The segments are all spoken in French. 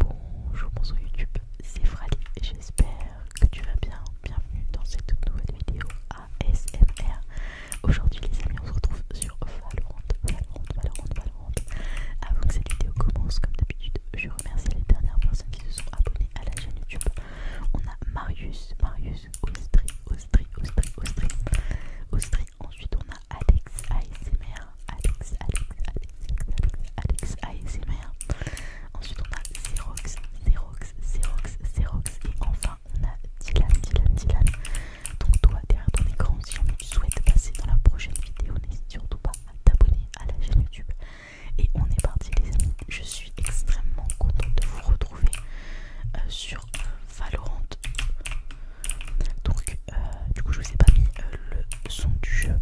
Bonjour, bonsoir YouTube, c'est Frali j'espère que tu vas bien. Bienvenue dans cette nouvelle vidéo ASMR. Aujourd'hui, les amis, on se retrouve sur Valorant, Valorant, Valorant, Avant que cette vidéo commence, comme d'habitude, je remercie les dernières personnes qui se sont abonnées à la chaîne YouTube. On a Marius, Marius, Ostri, Ostri, Ostri, Ostri, Ostri. Ensuite, on a Alex ASMR, Alex, Alex, Alex, Alex, Alex Alex, ASMR. Ensuite, on a Xerox, Xerox, Xerox, Xerox. Et enfin, on a Dylan, Dylan, Dylan. Donc, toi, derrière ton écran, si jamais tu souhaites passer dans la prochaine vidéo, n'hésite surtout pas à t'abonner à la chaîne YouTube. Et on est parti, les amis. Je suis extrêmement contente de vous retrouver euh, sur euh, Valorant. Donc, euh, du coup je vous ai pas mis euh, le son du jeu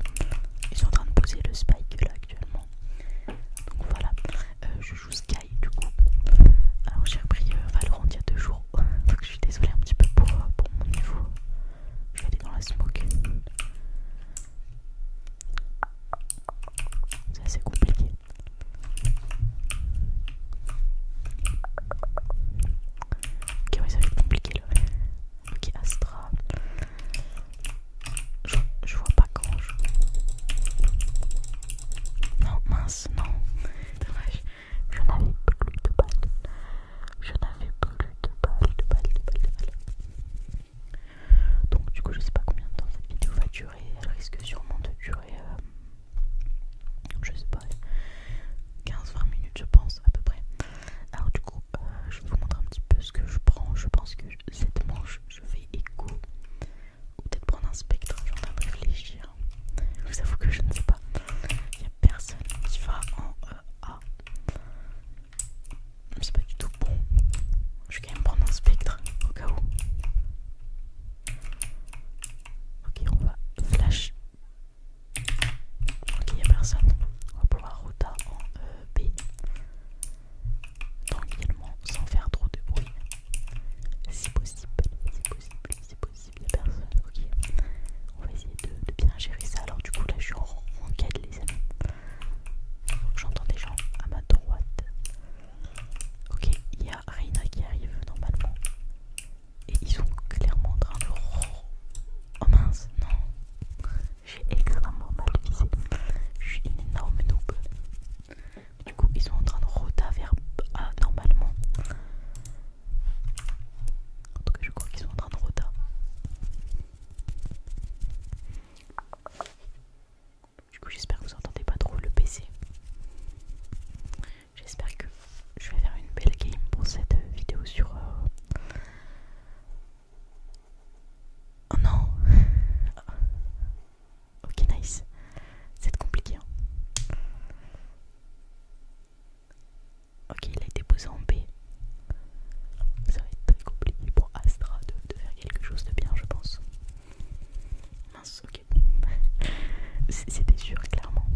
ils sont en train de poser le spike là actuellement donc voilà euh, je joue sky du coup alors j'ai repris Valorant il y a deux jours donc je suis désolée un petit peu pour, pour mon niveau je vais aller dans la smoke c'est assez compliqué Ok, oui ça va être compliqué là. Ok, Astra. Je, vois pas quand je... Non, mince, non. Dommage. Je n'avais plus de balles. Je n'avais plus de balles, de balles, de balles, de balles. Donc du coup, je sais pas combien de temps cette vidéo va durer. Elle risque sûrement de durer... Euh, je sais pas. 15-20 minutes je pense à peu près. Alors du coup euh, je vais vous montrer un petit peu ce que je prends. Je pense que cette manche, je vais écho ou peut-être prendre un spectre. Je vais en réfléchir. Je vous avoue que je ne sais pas. Il n'y a personne qui va en EA. Euh, a. C'est pas du tout bon. Je vais quand même prendre un spectre au cas où. Ok, on va flash Ok, il a personne. On va pouvoir Rota en euh, B. Tranquillement, sans faire trop de bruit. Si possible, si possible, si possible, il a personne. Ok. On va essayer de, bien gérer ça. Alors du coup, là, je suis en, en quête, les amis. J'entends des gens à ma droite. Ok, il y a Reina qui arrive normalement. Et ils sont clairement en train de... Oh mince, non. J'ai extrêmement mal visé, Je suis une énorme noob. Du coup, ils sont en train de rota vers euh, normalement. En tout cas, je crois qu'ils sont en train de rota. Du coup, j'espère que vous entendez pas trop le PC. J'espère que je vais faire une belle game pour cette vidéo sur. Euh, Oh non Ok, nice. C'est compliqué. Hein. Ok, il a été posé en B. Ça va être très compliqué pour Astra de, faire quelque chose de bien, je pense. Mince, ok. C'était sûr, clairement.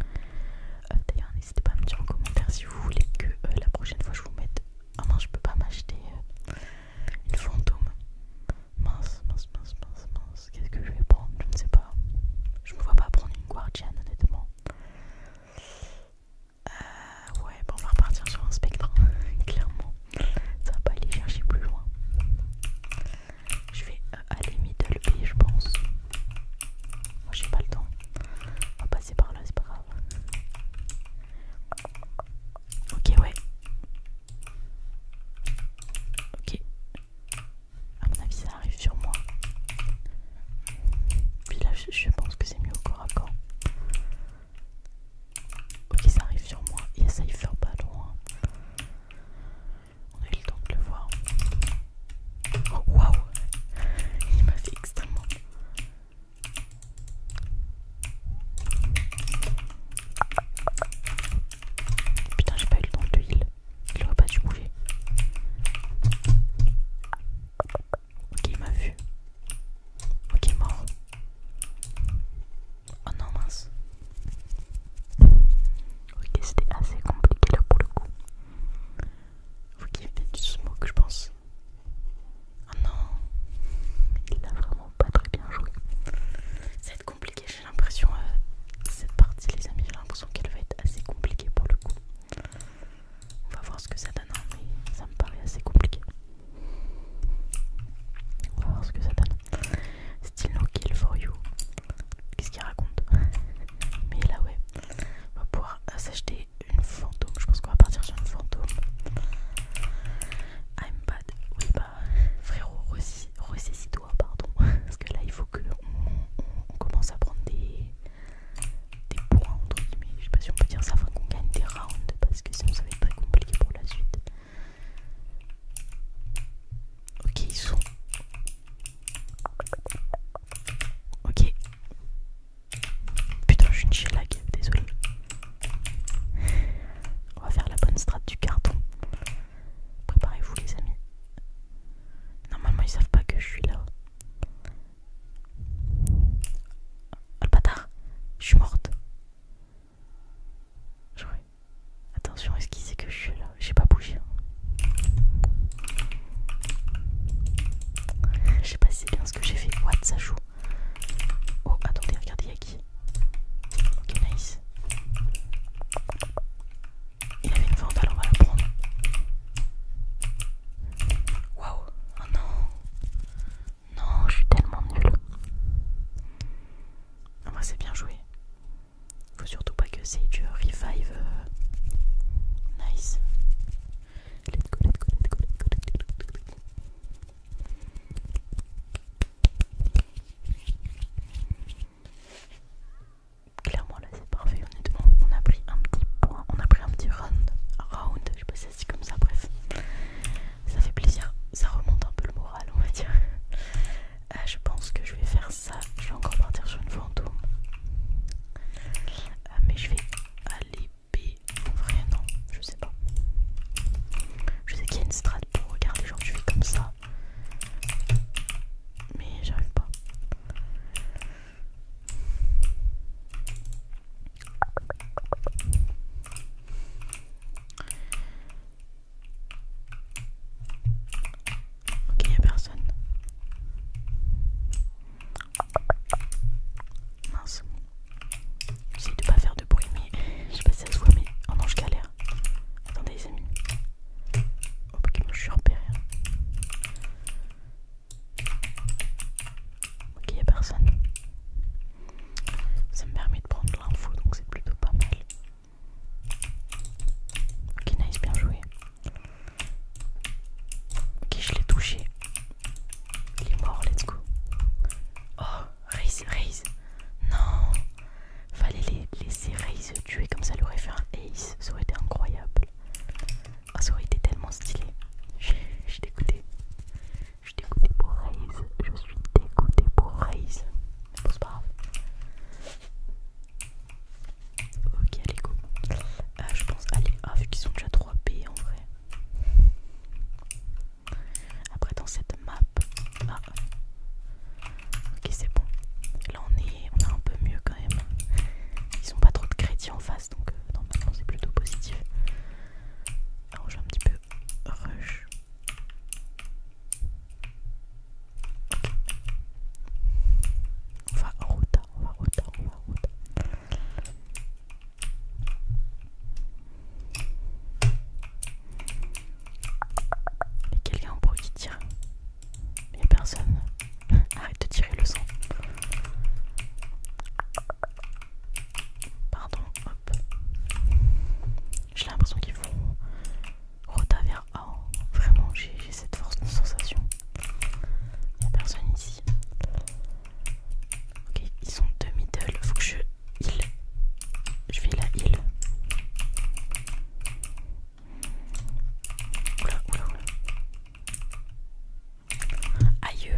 Euh, d'ailleurs, n'hésitez pas à me dire en commentaire si vous voulez que euh, la prochaine fois je vous mette. Ah non, je peux pas m'acheter euh, une fantôme. Mince, mince, mince, mince, mince. Qu'est-ce que je vais prendre Je ne sais pas. Je me vois pas prendre une guardian, honnêtement. ouais, bon, on va repartir sur un spectre, hein, clairement. Ça va pas aller chercher plus loin. Je vais à aller middle je pense. Moi j'ai pas le temps. On va passer par là, c'est pas grave. Ok, ouais. Ok. À mon avis, ça arrive sur moi. Puis là, je, pense que c'est mieux au corps à corps. Ok, ça arrive sur moi. Il essaye de faire pas loin. On a eu le temps de le voir. Oh, waouh! Il m'a fait extrêmement. Putain, j'ai pas eu le temps de heal. Il aurait pas dû bouger. Ok, il m'a vu. Ok, mort. Oh non, mince. Ok, c'était assez compliqué là pour le coup. Vous qui venez du smoke, je pense. Oh non, il a vraiment pas très bien joué. Ça va être compliqué, j'ai l'impression. Euh, cette partie, les amis, j'ai l'impression qu'elle va être assez compliquée pour le coup. On va voir ce que ça donne, hein, mais ça me paraît assez compliqué. On va voir ce que ça donne. Still no kill for you. Qu'est-ce qu'il raconte Mais là, ouais, on va pouvoir euh, s'acheter une fantôme. Je pense qu'on va partir sur une fantôme. I'm bad. Oui, bah, frérot, ressaisis-toi, pardon. Parce que là, il faut qu'on commence à prendre des, points, entre guillemets. Je sais pas si on peut dire ça, faut qu'on gagne des rounds. Parce que sinon, ça va être très compliqué pour la suite. Ok, ils sont. Ok. Putain, je suis une lag. désolé. On va faire la bonne strat du carton. Préparez-vous, les amis. Normalement, ils savent pas que je suis là. Oh le bâtard, je suis morte. Attention, est-ce qu'il sait que je suis là J'ai pas bougé. Hein. Je sais pas si c'est bien ce que j'ai fait. What, ça joue. Oh, attendez, regardez, il y qui Ok, nice. Il avait une vente, alors on va la prendre. Waouh, oh non. Non, je suis tellement nulle. Moi c'est bien joué. Faut surtout pas que Sage revive. Euh, nice. Let's go, let's go, let's go, Clairement là c'est parfait honnêtement on a pris un petit point, on a pris un petit round, round, je sais pas si comme ça bref ça fait plaisir, ça remonte un peu le moral on va dire euh, je pense que je vais faire ça, je vais encore partir sur une fantôme euh, mais je vais aller B, vrai non, je sais pas. Je sais qu'il y a une strat pour regarder, genre je fais comme ça. Mais j'arrive pas. Ok, y'a personne. Mince. J'essaie de pas faire de bruit, mais je sais pas si ça se voit, mais. Oh non, je galère. Attendez, les amis. Oh, moi je suis repéré. Hein. Ok, a personne. Ça me permet de prendre l'info, donc c'est plutôt pas mal. Ok, nice, bien joué. Ok, je l'ai touché. Il est mort, let's go. Oh, raise, raise. Non. Fallait les laisser raise tuer comme ça, elle aurait fait un ace. Ça aurait été incroyable. Oh, ça aurait été tellement stylé. Je suis dégoûtée. Je suis dégoûté pour raise. Je suis dégoûté pour raise. Mais bon, c'est pas grave. Ok, allez, go. Ah, je pense aller ah, vu qu'ils sont déjà 3B en vrai. Après dans cette map. Ah. Ok c'est bon. Là on est on un peu mieux quand même. Ils ont pas trop de crédits en face donc euh, normalement c'est plutôt positif. Alors vais un petit peu rush. On va en on va on va et quelqu'un en bruit qui tire. Il n'y a personne. Arrête de tirer le sang. Pardon, hop. J'ai l'impression qu'ils vont rota vers A. Hein. Vraiment, j'ai cette force de sensation. Il n'y a personne ici. Ok, ils sont deux middle. Faut que je heal. Je vais la heal. Oula, oula, oula. Aïe, euh,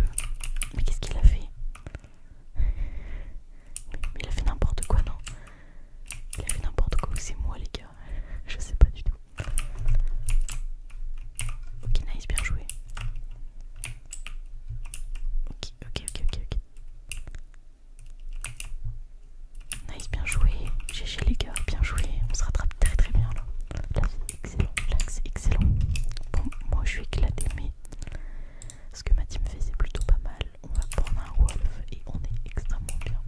mais qu'est-ce qu'il a fait mais, il a fait n'importe quoi, non Il a fait n'importe quoi, c'est moi les gars. Je sais pas du tout. Ok, nice, bien joué. Ok, ok, ok, ok, ok. Nice, bien joué. GG les gars, bien joué. On se rattrape très très bien là. c'est excellent, excellent. Bon, moi je suis éclaté, mais ce que ma team fait c'est plutôt pas mal. On va prendre un wolf et on est extrêmement bien.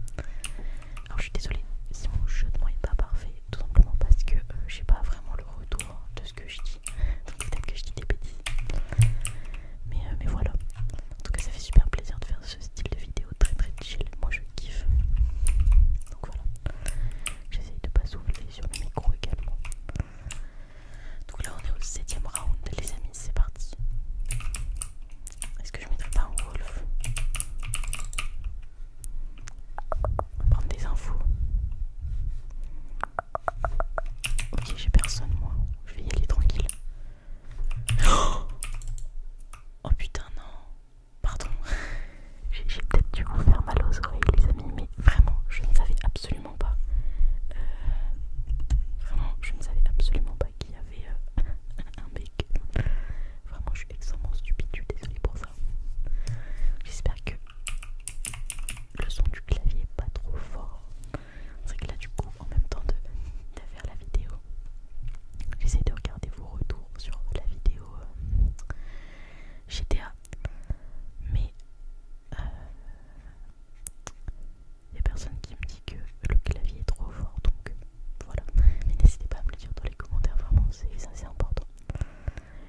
Alors je suis désolée si mon jeu de moi est pas parfait tout simplement parce que euh, j'ai pas vraiment le retour de ce que je dis. Donc peut-être que je dis des bêtises. Mais, euh, mais voilà. En tout cas ça fait super plaisir de faire ce style de vidéo très très chill. Moi je kiffe. Donc voilà. J'essaye de pas souffler sur le micro également. Donc là on est au 7 round les amis, c'est parti. Est-ce que je mettrais pas un wolf Prendre des infos. Ok, j'ai personne moi. Je vais y aller tranquille. Oh, putain, non. Pardon. j'ai peut-être dû vous faire mal aux oreilles, les amis, mais vraiment, je ne savais absolument pas. Euh, vraiment, je ne savais absolument pas qu'il y avait euh, un bec. Vraiment, je suis extrêmement stupide, je suis désolée pour ça. J'espère que le son du clavier pas trop fort. C'est que là du coup en même temps de, faire la vidéo, j'essaie de regarder vos retours sur la vidéo euh, GTA. Mais il euh, n'y a personne qui me dit que le clavier est trop fort donc voilà. Mais n'hésitez pas à me le dire dans les commentaires, vraiment, ça c'est important.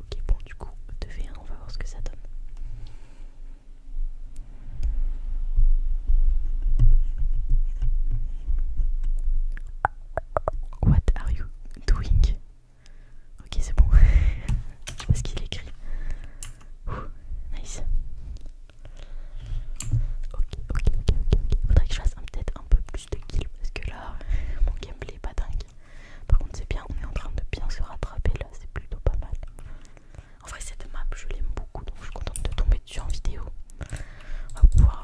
Ok, bon, du coup, de V1, on va voir ce que ça donne. What are you doing? Ok, c'est bon. Je sais pas ce qu'il écrit. nice. Ok, ok, ok, ok. Faudrait que je fasse peut-être un peu plus de kills parce que là, mon gameplay est pas dingue. Par contre, c'est bien, on est en train de bien se rattraper là, c'est plutôt pas mal. En vrai, cette map, je l'aime beaucoup, donc je suis contente de tomber dessus en vidéo. On va pouvoir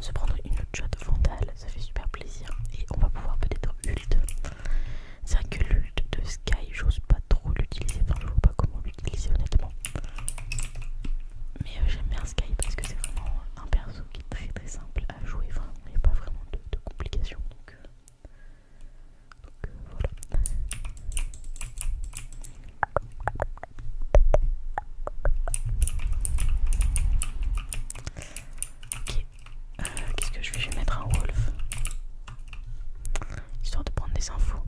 se prendre une autre shot vandale, ça fait super plaisir. Et on va pouvoir peut-être ult. C'est vrai que l'ult de Sky, j'ose pas trop l'utiliser, enfin, je vois pas comment l'utiliser honnêtement. Mais euh, j'aime bien Sky parce que c'est vraiment un perso qui est très très simple jouer, vraiment, il n'y a pas vraiment de, complications. Donc, euh, donc euh, voilà. Ok, euh, qu'est-ce que je vais Je vais mettre un wolf, histoire de prendre des infos.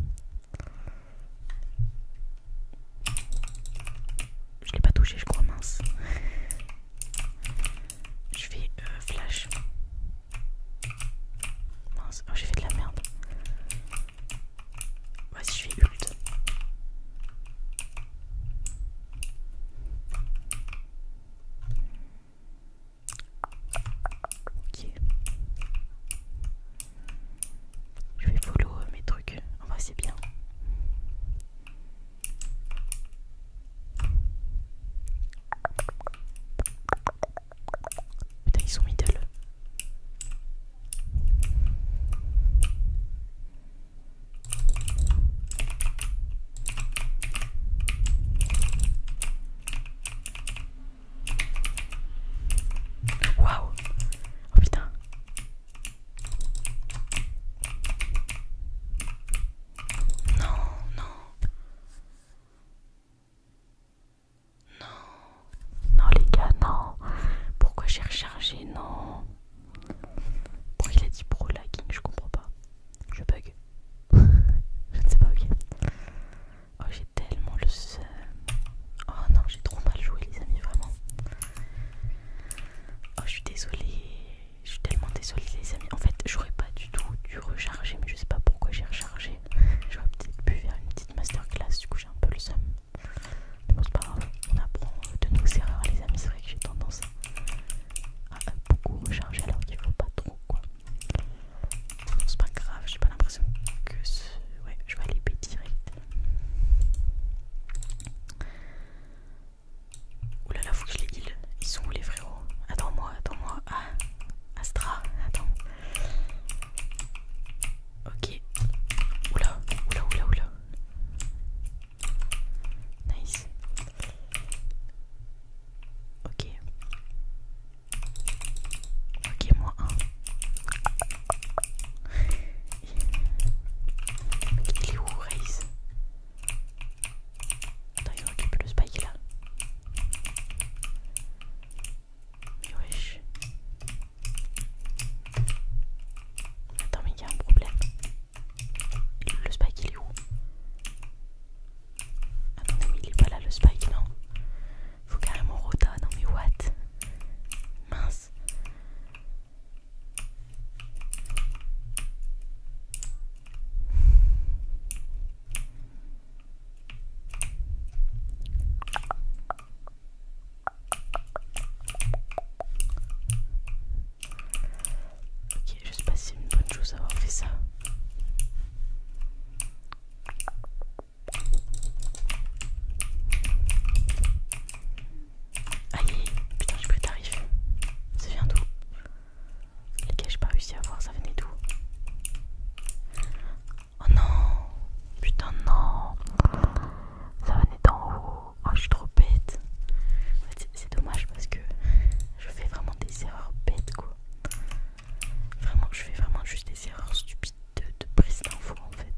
Je l'ai pas touché, je crois, mince. Je fais euh, flash. Oh, j'ai fait de la merde. Vas-y, je fais ult. Ok. Je vais follow euh, mes trucs. on c'est bien. Putain, ils sont middle. Waouh! Oh putain! Non, non. Non. Non les gars, non. Pourquoi j'ai rechargé Non. Pourquoi il a dit pro lagging Je comprends pas. Je bug. je ne sais pas, ok. Oh j'ai tellement le seum. Oh non, j'ai trop mal joué les amis, vraiment. Oh je suis désolée. Je suis tellement désolée les amis. En fait, j'aurais pas du tout dû recharger, mais je sais pas pourquoi j'ai rechargé. J'aurais peut-être pu faire une petite masterclass, du coup j'ai un peu le seum. Mais bon c'est pas grave, on apprend euh, de nos erreurs les amis, c'est vrai que j'ai tendance à, beaucoup recharger alors qu'il faut pas trop quoi. C'est pas grave, j'ai pas l'impression que ce... Ouais, je vais aller payer direct. Oulala, faut que je les heal. Ils sont où les frérots Attends-moi, attends-moi. Ah, Astra, attends. Ok. Oula, oula, oula, oula. Nice. Ok. Ok, moins 1. Il est où, Raze Attends, il aurait le spike là. Mais wesh. Attends, mais il y a un problème. Le spike il est où Attends mais il est pas là le spike, non Faut carrément rota, non mais what Mince. Ok, je sais pas si c'est une bonne chose d'avoir fait ça. Aïe, putain, je peux t'arriver. C'est Ça vient Lesquels j'ai pas réussi à voir, ça venait d'où Oh non Putain, non Ça venait d'en haut. Oh, je suis trop bête. c'est dommage parce que je fais vraiment des erreurs bêtes, quoi. Vraiment, je fais vraiment juste des erreurs stupides de, prise d'info en fait.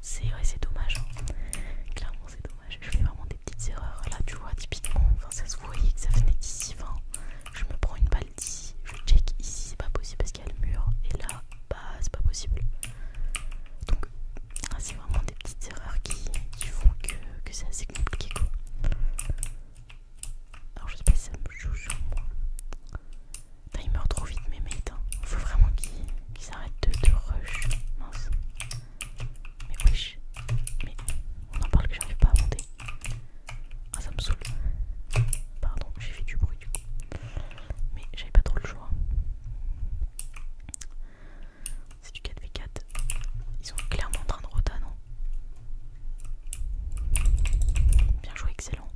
C'est c'est dommage. Hein. Clairement, c'est dommage. Je fais vraiment petites erreurs. Là, tu vois, typiquement, enfin, ça se voyait que ça venait d'ici. 20, je me prends une balle d'ici, je check ici, c'est pas possible parce qu'il y a le mur. Et là, bah, c'est pas possible. Donc, ah, c'est vraiment des petites erreurs qui, font que, c'est assez compliqué, quoi. Alors, je sais pas si ça me joue sur moi. il meurt trop vite, mes mates. il hein. Faut vraiment qu'ils arrêtent s'arrête de, de rush. Mince. Mais wesh, mais on en parle que j'arrive pas à monter. Ah, ça me saoule. Pardon, j'ai fait du bruit du coup. Mais j'avais pas trop le choix. C'est du 4v4. Ils sont clairement en train de rota, non Bien joué, excellent.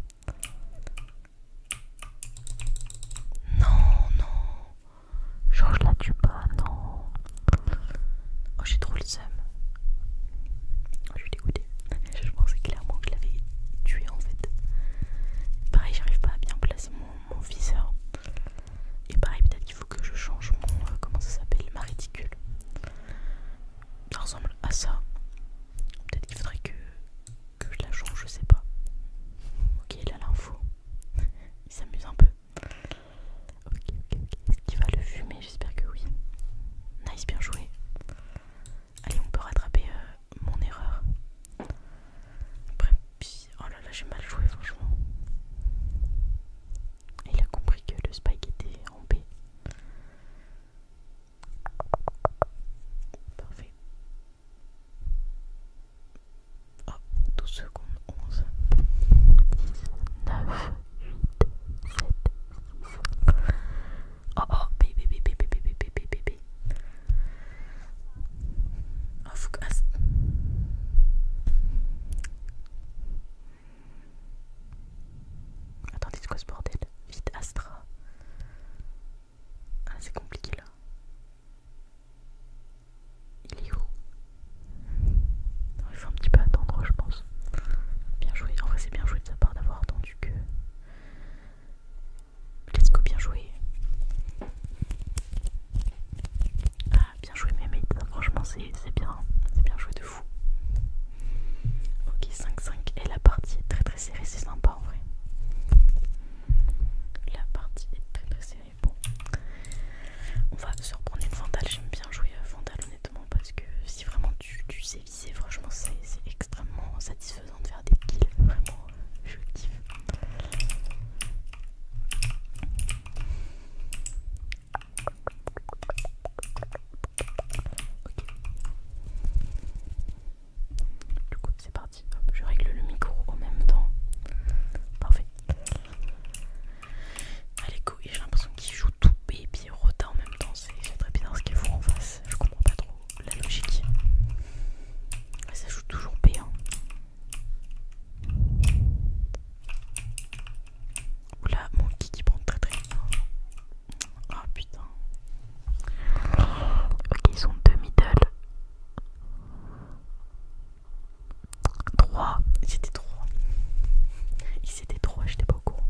Non, non. Change la pas, non. Oh, j'ai trop le seum. Oh, je suis dégoûtée. Je pensais clairement que je l'avais tué en fait. Pareil, j'arrive pas à bien placer mon, viseur. Et pareil, peut-être qu'il faut que je change mon. Euh, comment ça s'appelle Ma réticule. Ça ressemble à ça. Peut-être qu'il faudrait que, que je la change, je sais pas. Ok, il a l'info. Il s'amuse un peu ok, ok, ok. Est-ce qu'il va le fumer J'espère que oui. Nice, bien joué. Allez, on peut rattraper euh, mon erreur. Après, oh là là, j'ai mal joué, franchement. Il a compris que le spike était en B. Parfait. Oh, 12 secondes, 11, 10... 9, 8, 7, Oh, oh, bébé, bébé, bébé, bébé, bébé, Oh, faut Attends ah, Attendez, quoi ce bordel Vite, Astra. Ah, c'est compliqué là. Il est où Il faut un petit peu attendre, je pense. Bien joué. En vrai, c'est bien joué de sa part d'avoir attendu que. Let's go, bien joué. Ah, bien joué, mais Franchement, c'est bien. C'est bien joué de fou. Ok, 5-5. Et la partie est très très serrée. C'est sympa en vrai. La partie est très très serrée bon. On va se reprendre une Vandal. J'aime bien jouer Vandal honnêtement parce que si vraiment tu, sais viser, franchement, c'est extrêmement satisfaisant de faire des kills. Vraiment, je kiffe. Ok. Du coup, c'est parti. je règle le micro en même temps. Parfait. Allez, go, j'ai l'impression qu'ils jouent tout B et puis Rota en même temps. C'est très bizarre ce qu'ils font en face. Je comprends pas trop la logique. ça joue toujours B. Hein. Oula, mon qui prend très très bien Oh putain. Ok, ils sont deux middle. 3. Ils étaient 3. Ils étaient 3, j'étais pas au courant.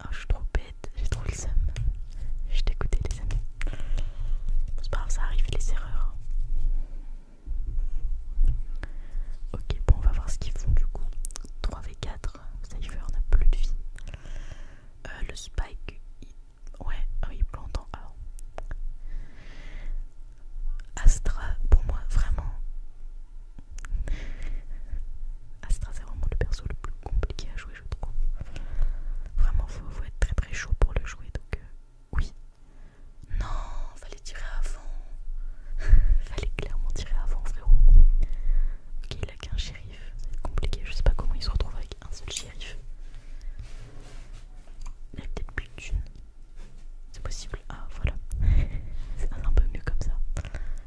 Ah, je suis trop bête, j'ai trop le seum. Je t'écoutais, les amis. C'est pas grave, ça arrive, les erreurs. Ok, bon, on va voir ce qu'ils font du coup. 3v4, on a plus de vie. Euh, le Spike, il... ouais, ah il plante en A. Ah. Astra, pour moi, vraiment. Astra, c'est vraiment le perso le plus compliqué à jouer, je trouve. Vraiment, faut, faut être très très chaud pour le jouer, donc euh, oui. Non, fallait tirer avant. fallait clairement tirer avant, frérot. Ok, il a qu'un shérif, c'est compliqué. Je sais pas comment il se retrouve avec un seul shérif. Il a peut-être plus d'une c'est possible. Ah voilà. C'est un peu mieux comme ça.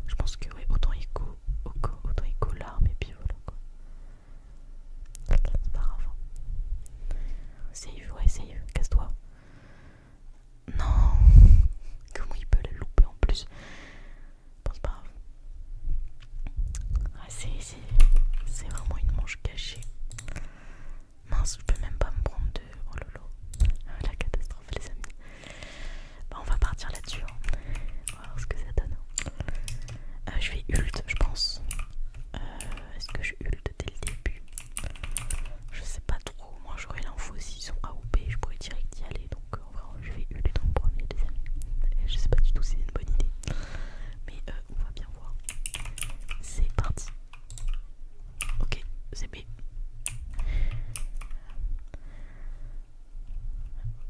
Je pense que oui, autant il autant écho l'arme et puis voilà C'est pas grave. Hein. Save, ouais, save, casse-toi. Non Comment il peut la louper en plus Pense c'est pas grave. Ah, c'est vraiment une manche cachée. Mince, je peux même pas me prendre de. Oh lolo, ah, la catastrophe, les amis. Bah, on va partir là-dessus. Hein. On va voir ce que ça donne. Hein. Euh, je vais ult, je pense. Euh, est-ce que je ult dès le début Je sais pas trop. Moi, j'aurais l'info si ils sont à AOP, je pourrais direct y aller. Donc, euh, en vrai, je vais ult en premier, les amis. je sais pas du tout si c'est une bonne idée. Mais on va bien voir. C'est parti. Ok, c'est B.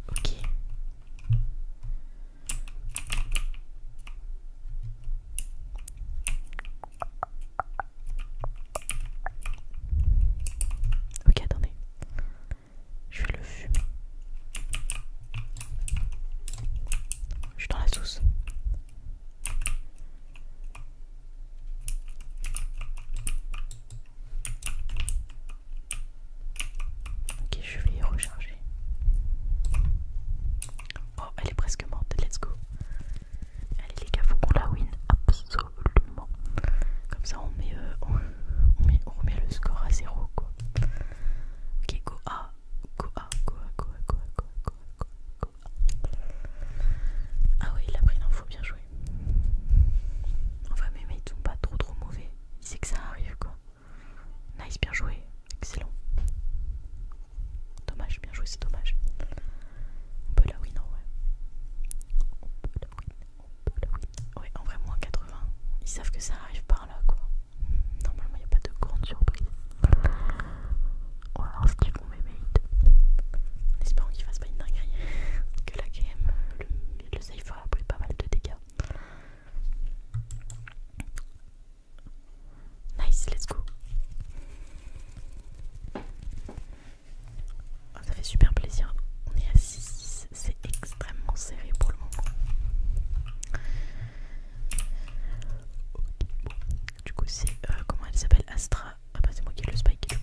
Ok. Ok, attendez. Je vais le fumer. Je suis dans la sauce. Ok, je vais y recharger. Oh, elle est presque morte, let's go. Allez les gars, faut qu'on la win absolument. Comme ça on met, on, remet le score à zéro quoi. Ok, go go go A, go A, go A, go A, go A, go A, go A, ah oui, il a pris l'info, bien joué. Enfin, mais, mais ils sont pas trop trop mauvais. Il sait que ça arrive quoi. Nice, bien joué. Excellent. Dommage, bien joué, c'est dommage. On peut la win, en vrai. On peut la win, on peut la win. Ouais, en vrai, moins 80. Ils savent que ça arrive par là, quoi. Normalement, il n'y a pas de grande surprise. On va voir ce tu font mes En espérant qu'il fasse pas une dinguerie. que la game, le, le safe a pris pas mal de dégâts. Nice, let's go. Ah, ça fait super plaisir. On est à 6-6. C'est extrêmement serré pour le moment. Du coup, c'est euh, comment elle s'appelle Astra. Ah bah, c'est moi qui ai le spike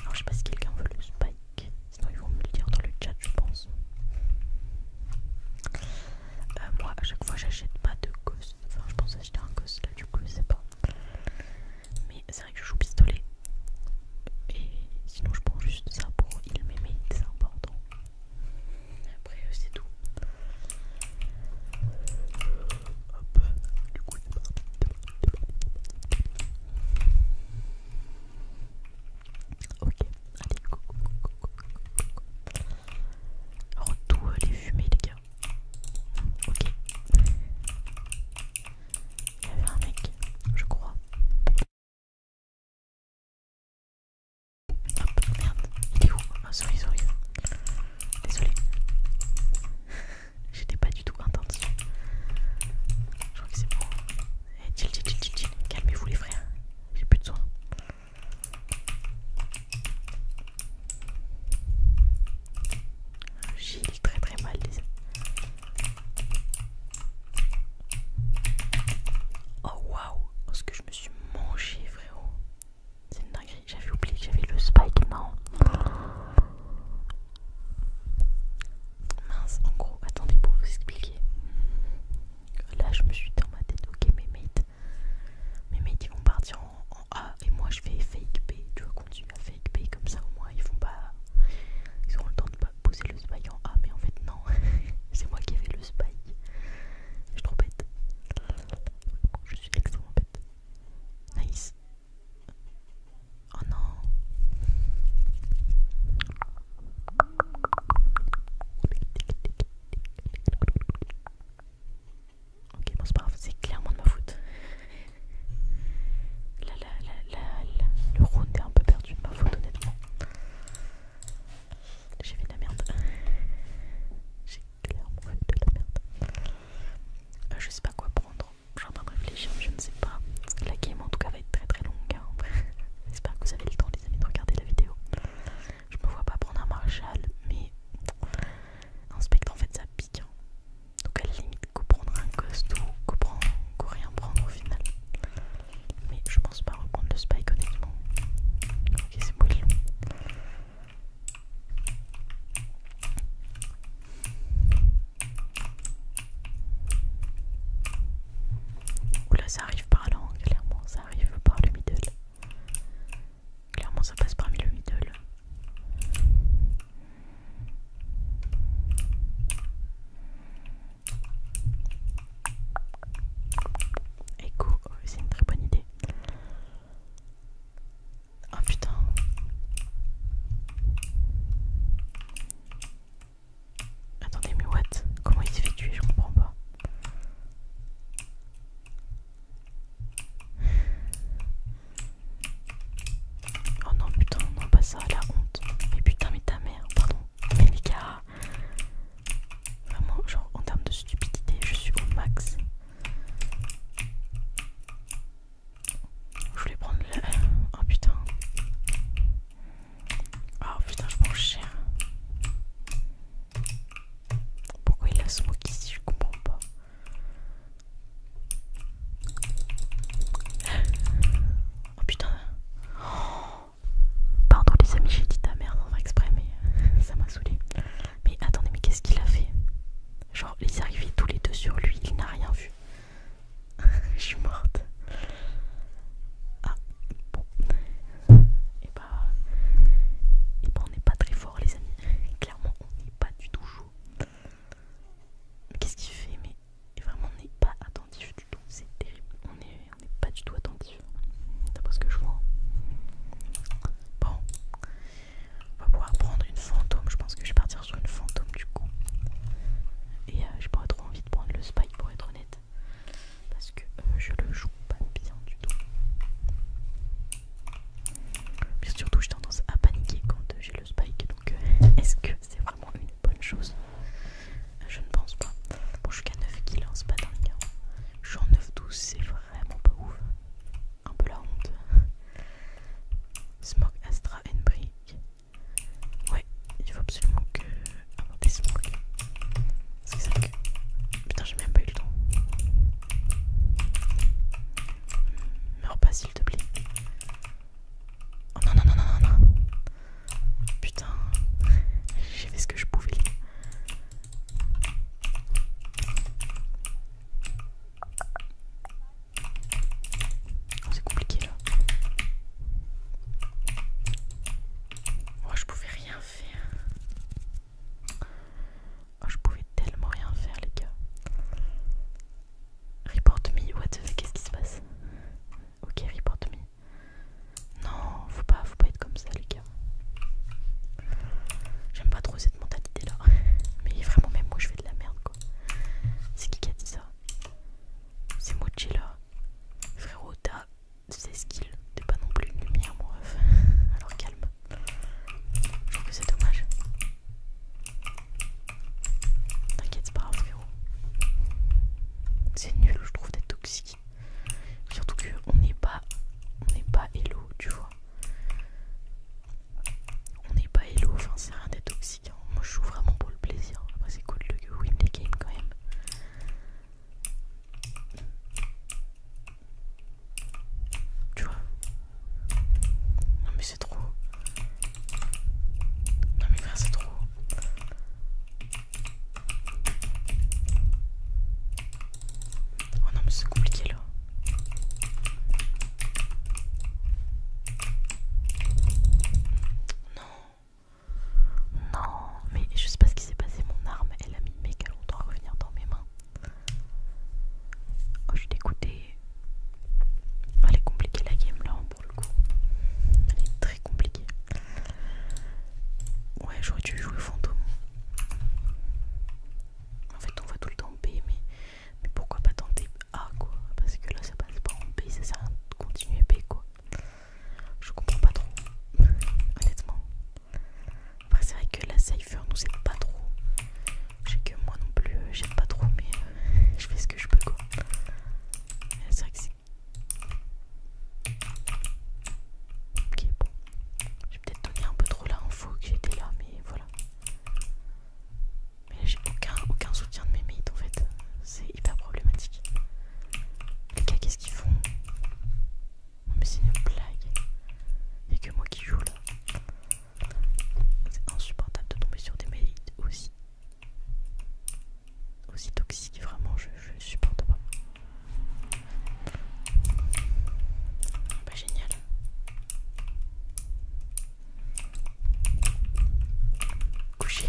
Alors, je sais pas si quelqu'un veut le spike. Sinon, ils vont me le dire dans le chat, je pense. Euh, moi, à chaque fois, j'achète pas de ghost. Enfin, je pense acheter un ghost là, du coup, je sais pas. Mais c'est vrai que je joue pistolet. Et sinon, je prends juste ça pour il m'aimer, c'est important après euh, c'est tout. Hop, du coup, Ok, allez, go, go, go, Retour les fumées, les gars. Ok. Il y avait un mec, je crois. Hop, merde, il est où Ah, souris, souris. Désolé, J'étais pas du tout intention. Je crois que c'est bon. Eh, chill, chill, chill, chill. Calmez-vous les frères. J'ai plus de soin. J'ai très très mal désolé. Oh waouh, Parce ce que je me suis mangé frérot. C'est une dinguerie, j'avais oublié que j'avais le spike, non. Mince, en gros, attendez pour vous expliquer. Là, je me suis dans ma tête, ok, mes mates, mes mates ils vont partir en, A et moi je vais fake B. Tu vois, continuer à fake B comme ça, au moins ils font pas. Ils auront le temps de pas poser le spike en A, mais en fait, non, c'est moi qui ai fait le spike. Je suis trop bête. Je suis extrêmement Nice. Oh non. Ok, c'est pas c'est clairement de ma faute. le round est un peu perdu de ma faute, honnêtement. J'ai fait de la merde. J'ai euh, je sais pas quoi prendre, je suis en train de réfléchir, je ne sais pas. La game en tout cas va être très très longue. Hein. J'espère que vous avez le temps, les amis, de regarder la vidéo. Je me vois pas prendre un Marshall, mais un Spectre en fait ça pique. Hein. Donc à la limite, qu'on prendre un Ghost ou que rien prendre au final. Mais je pense pas reprendre le Spike honnêtement. Ok, c'est bon. Oula, ça arrive par là, clairement, ça arrive par le middle. Clairement, ça passe parmi le middle. écoute, oh, c'est une très bonne idée. Ah putain. Attendez, mais what Comment il s'est fait tuer Je comprends pas. Oh non, putain, non, pas ça, la honte. Mais putain, mais ta mère, pardon. Mais les gars, vraiment, genre en termes de stupidité, je suis au max. Je voulais prendre le... Oh putain. Oh putain, je mange le chien. Pourquoi il a smoke ici Je comprends pas. Oh putain. Pardon les amis, j'ai dit ta merde, on va exprès, ça m'a saoulé. Mais attendez, mais qu'est-ce qu'il a fait Genre, ils est tous les deux sur lui, il n'a rien vu. Je suis morte. Ah, bon. Et eh bah, et bah on n'est pas très fort, les amis. Clairement, on n'est pas du tout chaud. qu'est-ce qu'il fait Mais vraiment, on n'est pas attentif du tout. C'est terrible. On n'est on pas du tout attentif. pas ce que je vois. Bon. On va pouvoir prendre une fantôme. Je pense que je vais partir sur une fantôme du coup. Et euh, je j'ai pas trop envie de prendre le spike pour être honnête. Parce que euh, je le joue pas bien du tout. Mais surtout, j'ai tendance à paniquer quand euh, j'ai le spike. Donc, est-ce que c'est vraiment une bonne chose Je ne pense pas. Bon, je suis qu'à 9 kills, hein, pas dingue. Hein. Je suis en 9-12, c'est vraiment pas ouf un peu la honte. smoke Astra and Brick. Ouais, il faut absolument que. inventer Smog. que ça que. Putain, j'ai même pas eu le temps. Meurs pas, s'il te plaît. Oh non, non, non, non, non, non. Putain, j'ai fait ce que je pouvais. C'est compliqué là. Moi oh, je pouvais rien faire. Oh, je pouvais tellement rien faire les gars. Report me, what the qu'est-ce qui se passe Ok, report me. Non, faut pas, faut pas être comme ça les gars. J'aime pas trop cette mentalité là. Mais vraiment, même moi je fais de la merde quoi. C'est qui qui a dit ça C'est Mochi là. Frérot, t'as des skills. T'es pas non plus une lumière, mon ref. Alors calme. Je trouve que c'est dommage. T'inquiète, c'est pas grave, frérot. C'est nul, je trouve, d'être toxique. Surtout qu'on n'est pas. On n'est pas hello, tu vois. On n'est pas Hello, c'est rien d'être hein. Moi je joue vraiment pour le plaisir. c'est cool le win Game games quand même. Tu vois Non mais c'est trop. Non mais c'est trop. Oh non mais c'est compliqué là. Non, non, mais je sais pas ce qui s'est passé. Mon arme, elle a mis méga longtemps à revenir dans mes mains. Oh, je t'ai dégoûtée. Oh, elle est compliquée la game là, hein, pour le coup. Elle est très compliquée. Ouais, j'aurais dû jouer fantôme. En fait, on va tout le temps B, mais mais pourquoi pas tenter A quoi Parce que là ça passe pas en B, ça sert à continuer B quoi. Je comprends pas trop, honnêtement. Après c'est vrai que la cipher nous aide pas trop. Je que moi non plus euh, j'aime pas trop mais euh, je fais ce que je peux quoi. Euh, c'est vrai que si. Ok bon. J'ai peut-être donné un peu trop info que j'étais là mais voilà. Mais j'ai aucun, soutien de mes mates en fait. C'est hyper problématique. Les gars, qu'est-ce qu'ils font Non, mais c'est une blague. Il a que moi qui joue là. C'est insupportable de tomber sur des mates aussi. Aussi toxiques, vraiment, je supporte pas. Bah, génial. Couché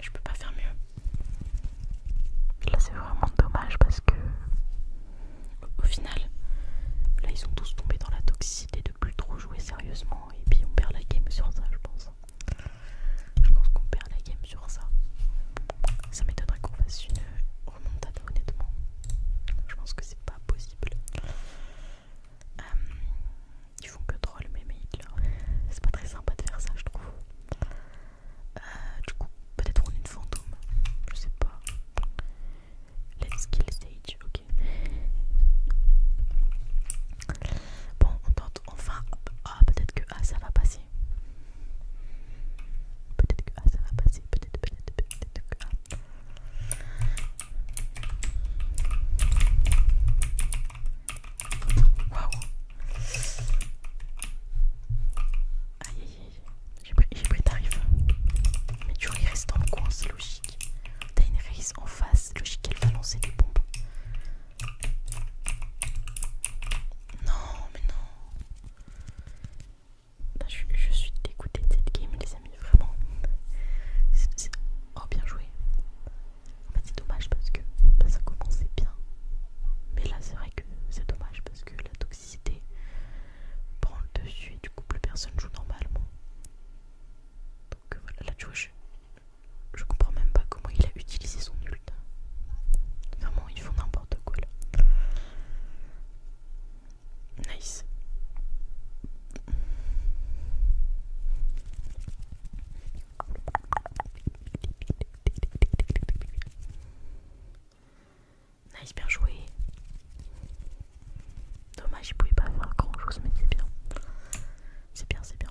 Je peux pas faire mieux. Là c'est vraiment dommage parce que au final, là ils sont tous tombés dans la toxicité de plus trop jouer sérieusement et puis on perd la game sur ça je pense. Je pense qu'on perd la game sur ça. Ça m'étonnerait qu'on fasse une remontada, honnêtement. Je pense que c'est pas possible. Euh, ils font que troll mes mec là. C'est pas très sympa de faire ça, je trouve. Euh, du coup, peut-être on est une fantôme. Je sais pas. Let's kill stage, ok. Bon, on tente enfin. Ah, peut-être que A, ah, ça va passer. Peut-être que A, ah, ça va passer. Peut-être, peut-être, peut-être que ah. Waouh! Aïe aïe aïe, j'ai pris, tarif. Mais tu restes reste en coin, c'est logique. T'as une race en face, logique elle va lancer des bombes. Non, mais non. Bah, je, suis dégoûtée de cette game, les amis, vraiment. Oh, bien joué. En fait, c'est dommage parce que bah, ça commençait bien. Mais là, c'est vrai que c'est dommage parce que la toxicité prend le dessus et du coup, plus personne joue normalement. Donc euh, voilà, la tu je comprends même pas comment il a utilisé son ult. Vraiment, ils font n'importe quoi là. Nice. Nice, bien joué. Dommage, je pouvait pas avoir grand chose, mais c'est bien. C'est bien, c'est bien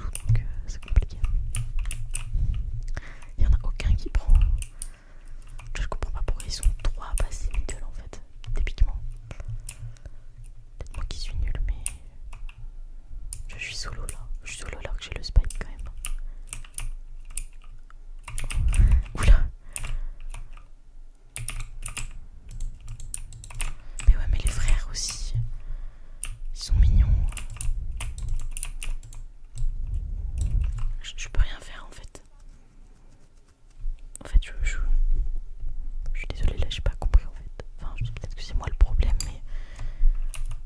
donc euh, c'est compliqué. Il y en a aucun qui prend. Je comprends pas pourquoi ils sont trois à passer middle en fait, typiquement. Peut-être moi qui suis nul, mais je suis solo là. Je suis solo là que j'ai le spike quand même. Oula! Mais ouais, mais les frères aussi. Ils sont mignons. Je, peux rien faire en fait. En fait, je, je, suis désolée, là j'ai pas compris en fait. Enfin, peut-être que c'est moi le problème, mais.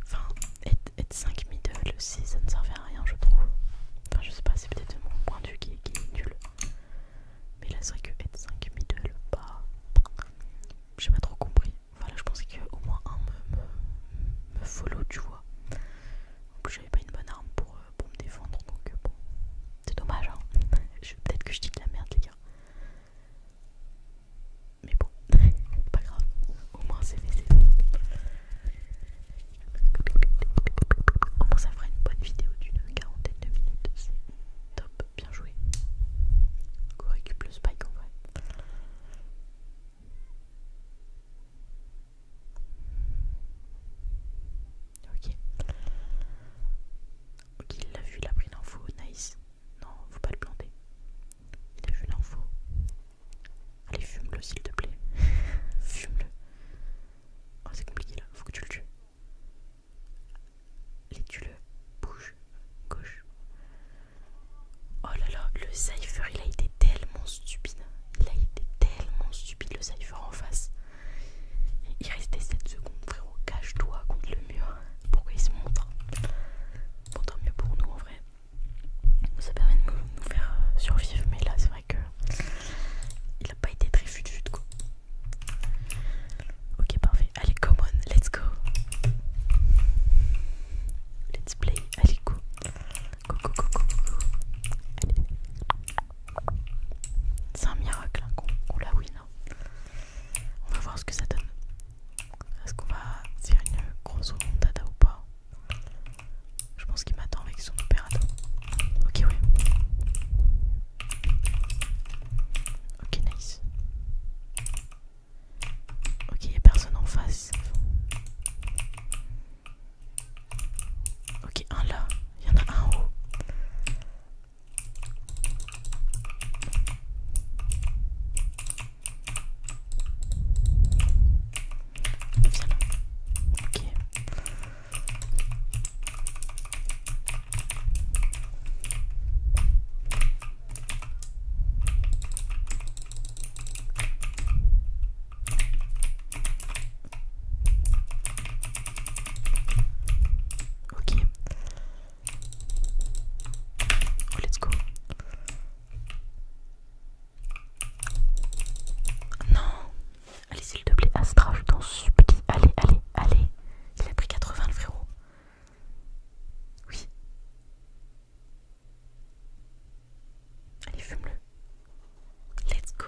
Enfin, être, 5 middle, ça ne servait à rien, je trouve. Enfin, je sais pas, c'est peut-être mon point de vue qui, est nul. Mais là, c'est vrai que être 5 middle, bah. J'ai pas trop compris voilà, je pensais qu'au moins un me, follow, tu vois. En j'avais pas une bonne arme pour, euh, pour me défendre, donc euh, bon, c'est dommage. Hein Peut-être que je dis de la merde, les gars. Mais bon, pas grave, au moins c'est fait, Au moins ça fera une bonne vidéo d'une quarantaine de minutes, c'est top, bien joué. Qu'on récupère le spike en vrai. Ok. Ok, il l'a vu, il a pris l'info. Nice. Non, faut pas le planter. Il a vu l'info. Allez, fume-le s'il te plaît. fume-le. Oh, c'est compliqué là, faut que tu le tues. Allez, tu le Bouge gauche, Oh là là, le Cypher il a été tellement stupide. Il a été tellement stupide le Cypher en face. Il restait 7 secondes, frérot. Cache-toi contre le mur. Pourquoi il se montre tant mieux pour nous en vrai. Ça permet de nous faire euh, survivre, mais là c'est vrai que il a pas été très fut quoi. Ok, parfait. Allez, come on, let's go. Let's play, allez go. Go, go, go, go, go. C'est un miracle hein, oula qu'on la win. Hein. On va voir ce que ça donne. Est-ce qu'on va faire une grosse remontada ou pas Je pense qu'il m'attend avec son opérateur. Ok, oui. Ok, nice. Ok, il n'y a personne en face. Ok, un là. Il y en a un haut. Viens Ok. Ok. Oh, let's go. Non. Allez, s'il te plaît, Astra, je t'en supplie. Allez, allez, allez. Il a pris 80 le frérot. Oui. Allez, fume-le. Let's go.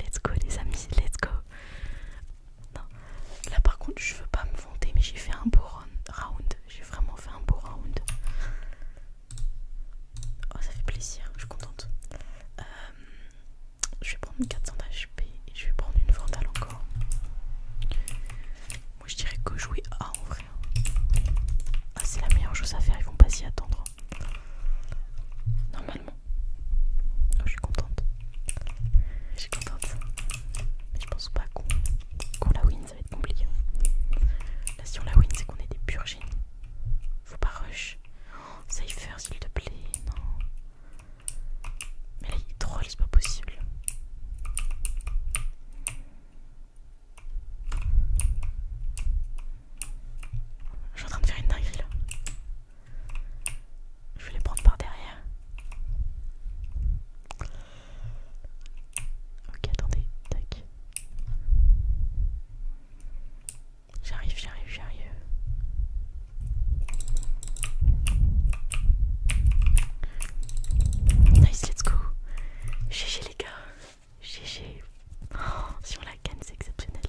Let's go, les amis. Let's go. Non. Là, par contre, je veux pas me vanter, mais j'ai fait un beau round. J'ai vraiment fait un beau round. Oh, ça fait plaisir. Je suis contente. Euh, je vais prendre 400 HP et je vais prendre une vandale encore. Moi je dirais que jouer A en vrai. Hein. Ah, c'est la meilleure chose à faire, ils vont pas s'y attendre. Normalement. Oh, je suis contente. Je suis contente. Mais je pense pas qu'on la win, ça va être compliqué. Là, si on la win, c'est qu'on est des purs génies. Faut pas rush. Oh, s'il te plaît, non. Mais là, il drôle, c'est pas possible. Je suis en train de faire une dinguerie là. Je vais les prendre par derrière. Ok, attendez, tac. J'arrive, j'arrive, j'arrive. Nice, let's go. GG les gars, GG. si on la gagne, c'est exceptionnel.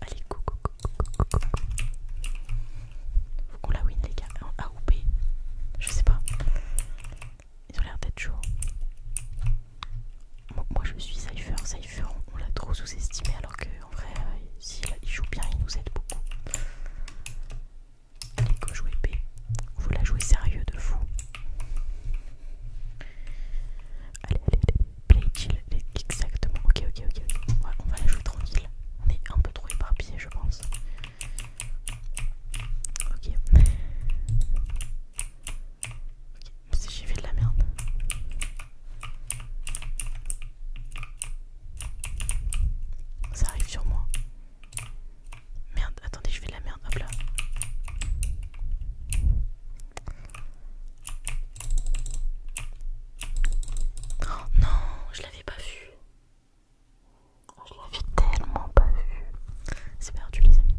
Allez, go, go, go, go, go, Faut qu'on la win, les gars. A ou B Je sais pas. Ils ont l'air d'être chauds. Moi, je suis Cypher. Cypher, on, l'a trop sous-estimé. Alors que, en vrai, euh, s'il joue bien, il nous aide beaucoup. Allez, go jouer B, vous la jouez sérieux de fou. Allez, allez, allez, play chill, exactement. Ok, ok, ok. on va la jouer tranquille. On est un peu trop éparpillé, je pense. Ok. Ok, si j'ai fait de la merde. Ça arrive sur moi. Merde, attendez, je fais de la merde. Hop là. Oh non, je l'avais pas vu. je l'avais tellement pas vu. C'est perdu, les amis.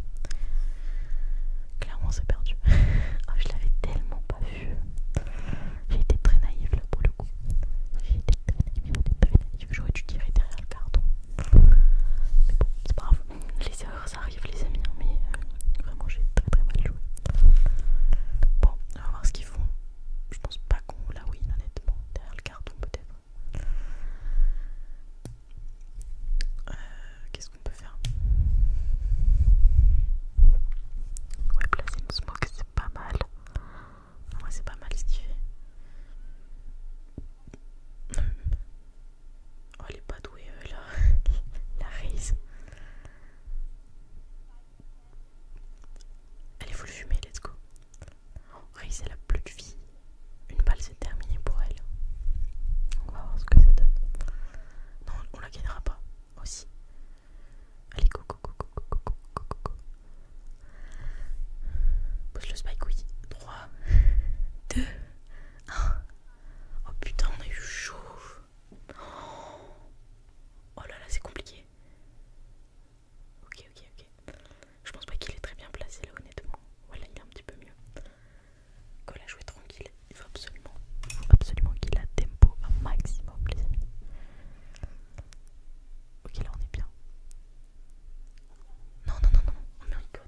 Clairement, c'est perdu. Oh, je l'avais tellement pas vu. J'ai été très naïve le pour le coup. J'aurais dû tirer derrière le carton. Mais bon, c'est pas grave. Les erreurs, ça arrive, les amis. Hein, mais euh, vraiment, j'ai très très mal joué. Bon, on va voir ce qu'ils font. Je pense pas qu'on la win, honnêtement. Derrière le carton, peut-être. Euh, Qu'est-ce qu'on peut faire Ouais, placer une smoke, c'est pas mal moi c'est pas mal ce qu'il fait. Oh, elle est pas douée euh, là, la raise. Allez, faut le fumer, let's go. Oh, elle a plus de vie. Une balle, c'est terminé pour elle. On va voir ce que ça donne. Non, on la gagnera pas aussi. Allez, go, go, go, go, go, go, go, go, go. Pousse le spike, oui. 3, 2, 1. Oh putain, on a eu chaud. Oh là là, c'est compliqué. Ok, ok, ok. Je pense pas qu'il est très bien placé là, honnêtement. Voilà, il est un petit peu mieux. Cole jouer tranquille. Il faut absolument, absolument qu'il a tempo un maximum, les amis. Ok, là on est bien. Non, non, non, non, on me On on me code.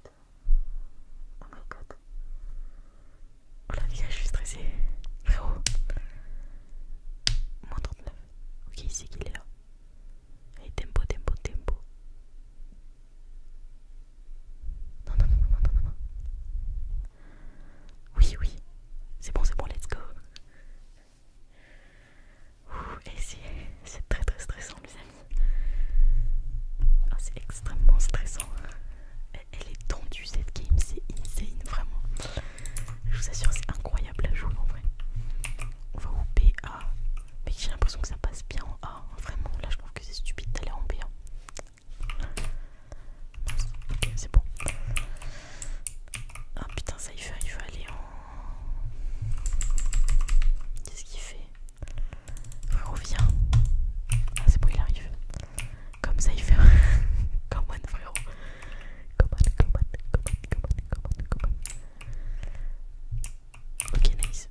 Oh, oh, oh la vie, je suis stressée. Frérot. Moins 39. Ok, il sait qu'il est là. Allez, tempo, tempo, tempo. Non, non, non, non, non, non, non. Oui, oui. C'est bon, c'est bon, let's go. Et c'est très très stressant les amis. Ah, c'est extrêmement stressant. Elle est tendue cette game, c'est insane vraiment. Je vous assure c'est incroyable à jouer en vrai. On va au A Mais j'ai l'impression que ça passe bien en A. Hein. Vraiment, là je trouve que c'est stupide d'aller en b Ok, c'est bon. Ah putain, ça y fait, il faut aller en... Qu'est-ce qu'il fait Frérot, viens. Ah, c'est bon, il arrive. Comme ça, il fait. come on, frérot. Come on, come on, come on, come Ok, nice.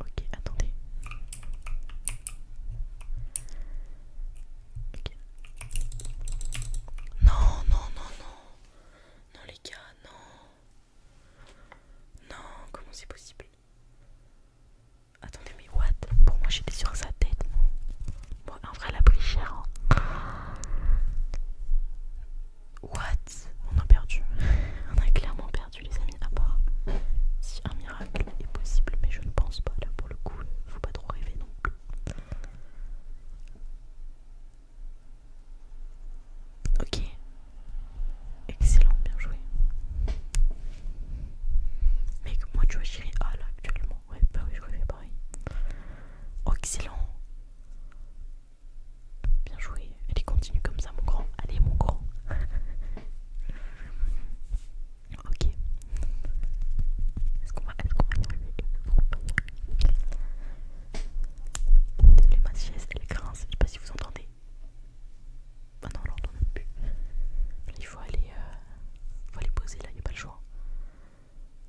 Ok, attendez. Ok. Non, non, non, non non les gars, non, non, comment c'est possible Attendez, mais what Pour moi, j'étais sur sa tête. Bon, en vrai, elle a pris hein. What On a perdu. On a clairement perdu, les amis. À bah, si un miracle est possible, mais je ne pense pas. Là, pour le coup, faut pas trop rêver non plus. Ok. Excellent, bien joué. Mec, moi tu vois j'irai ah, là actuellement. Ouais bah oui je refais pareil. excellent. Bien joué. Allez continue comme ça mon grand. Allez mon grand. ok. Est-ce qu'on va, être le les de les elle je je sais pas si vous entendez. Ah non, on l'entend même plus. il euh, faut aller, poser là, il n'y a pas le choix.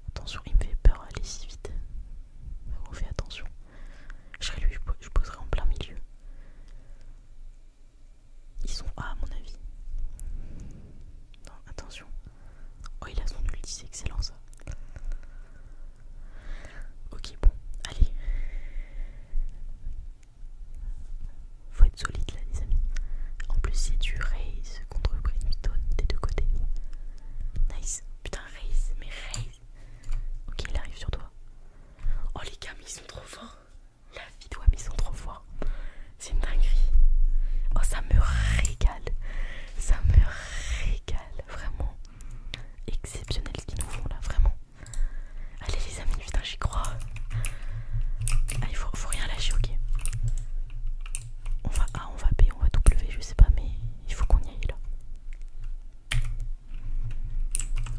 Attention, il me fait peur, d'aller si vite. On fait attention. Je serai lui, je poserai en plein milieu. Ils sont A à mon avis. Non, attention. Oh, il a son ulti, c'est excellent ça. Ok, bon, allez. Faut être solide là, les amis. En plus, c'est du raise contre Brimstone des deux côtés. Nice. Putain, raise, mais raise. Ok, il arrive sur toi. Oh, les gars, mais ils sont trop forts. La vie, toi mais ils sont trop forts. C'est une dinguerie. Oh, ça me régale. Ça me régale, vraiment exceptionnel ce qu'ils nous font là, vraiment. Allez les amis, putain j'y crois. Ah, il faut, faut rien lâcher, ok. On va A, on va B, on va W, je sais pas, mais il faut qu'on y aille là.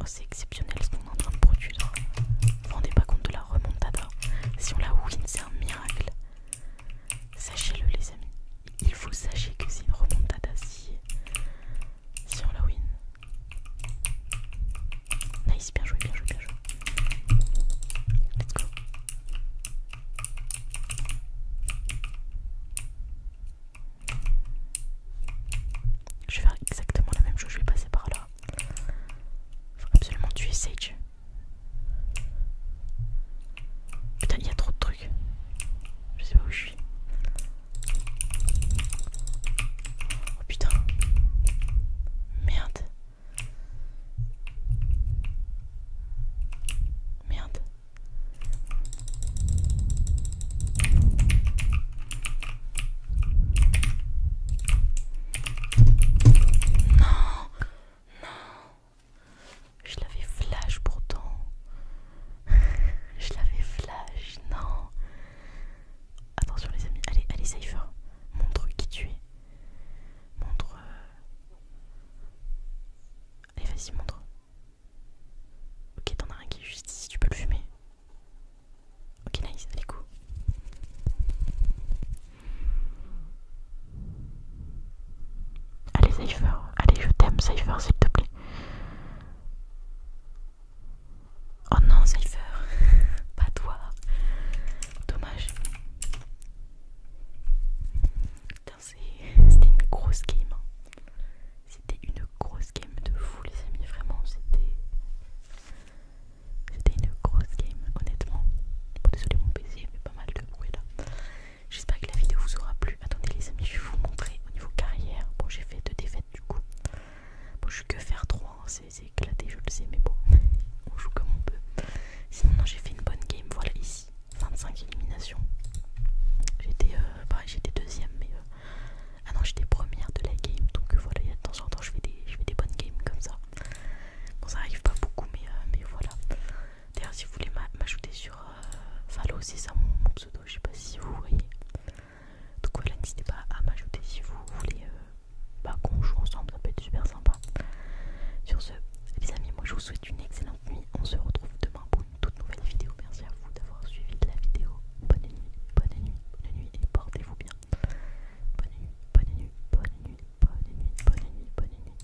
Oh, c'est exceptionnel ce qu'on est en train de produire. Vous vous rendez pas compte de la remontada Si on la win, c'est un miracle. Sachez-le les amis, il faut sachez que c'est une remontada si, sur on la win. Nice, bien joué, bien joué, bien joué. Let's go. Je vais faire exactement la même chose, je vais passer par là. Faut absolument tuer Sage. Putain, il y a trop de trucs. Je sais pas où je suis. Oh putain. Merde. Merde. Non, non, je l'avais flash pourtant. Je l'avais flash, non. Attention les amis, allez, allez Cypher, hein. montre qui tu es. Montre... Euh, allez, vas-y, montre. Ok, t'en as un qui est juste ici, tu peux le fumer. Ok, nice, allez, go. Allez, Cypher, allez, je t'aime, Cypher, s'il te plaît. Oh non, Cypher, pas toi. Dommage. C'était une grosse game. Hein. C'était une grosse game de fou, les amis. Vraiment, c'était. C'était une grosse game, honnêtement. Bon, désolé, mon baiser mais pas mal de bruit là. J'espère que la vidéo vous aura plu. Attendez les amis, je vais vous montrer au niveau carrière. Bon, j'ai fait deux défaites du coup. Bon, je suis que faire trois hein. c'est éclaté, je le sais, mais bon, on joue comme on peut. Sinon, j'ai fait une bonne game, voilà, ici, 25 éliminations. J'étais pareil, euh, bah, j'étais deuxième, mais... Euh, ah non, j'étais première de la game, donc euh, voilà, de temps en temps, je fais des, je fais des bonnes games comme ça. Bon, ça arrive pas beaucoup, mais, mais voilà. D'ailleurs, si vous voulez m'ajouter sur Valo, euh, c'est ça mon, pseudo, je sais pas si vous voyez. Donc voilà, n'hésitez pas à m'ajouter si vous voulez euh, bah, qu'on joue ensemble, ça peut être super sympa. Sur ce, les amis, moi je vous souhaite une excellente nuit. On se retrouve demain pour une toute nouvelle vidéo. Merci à vous d'avoir suivi la vidéo. Bonne nuit, bonne nuit, bonne nuit et portez-vous bien. bonne nuit, bonne nuit, bonne nuit, bonne nuit, bonne nuit, bonne nuit.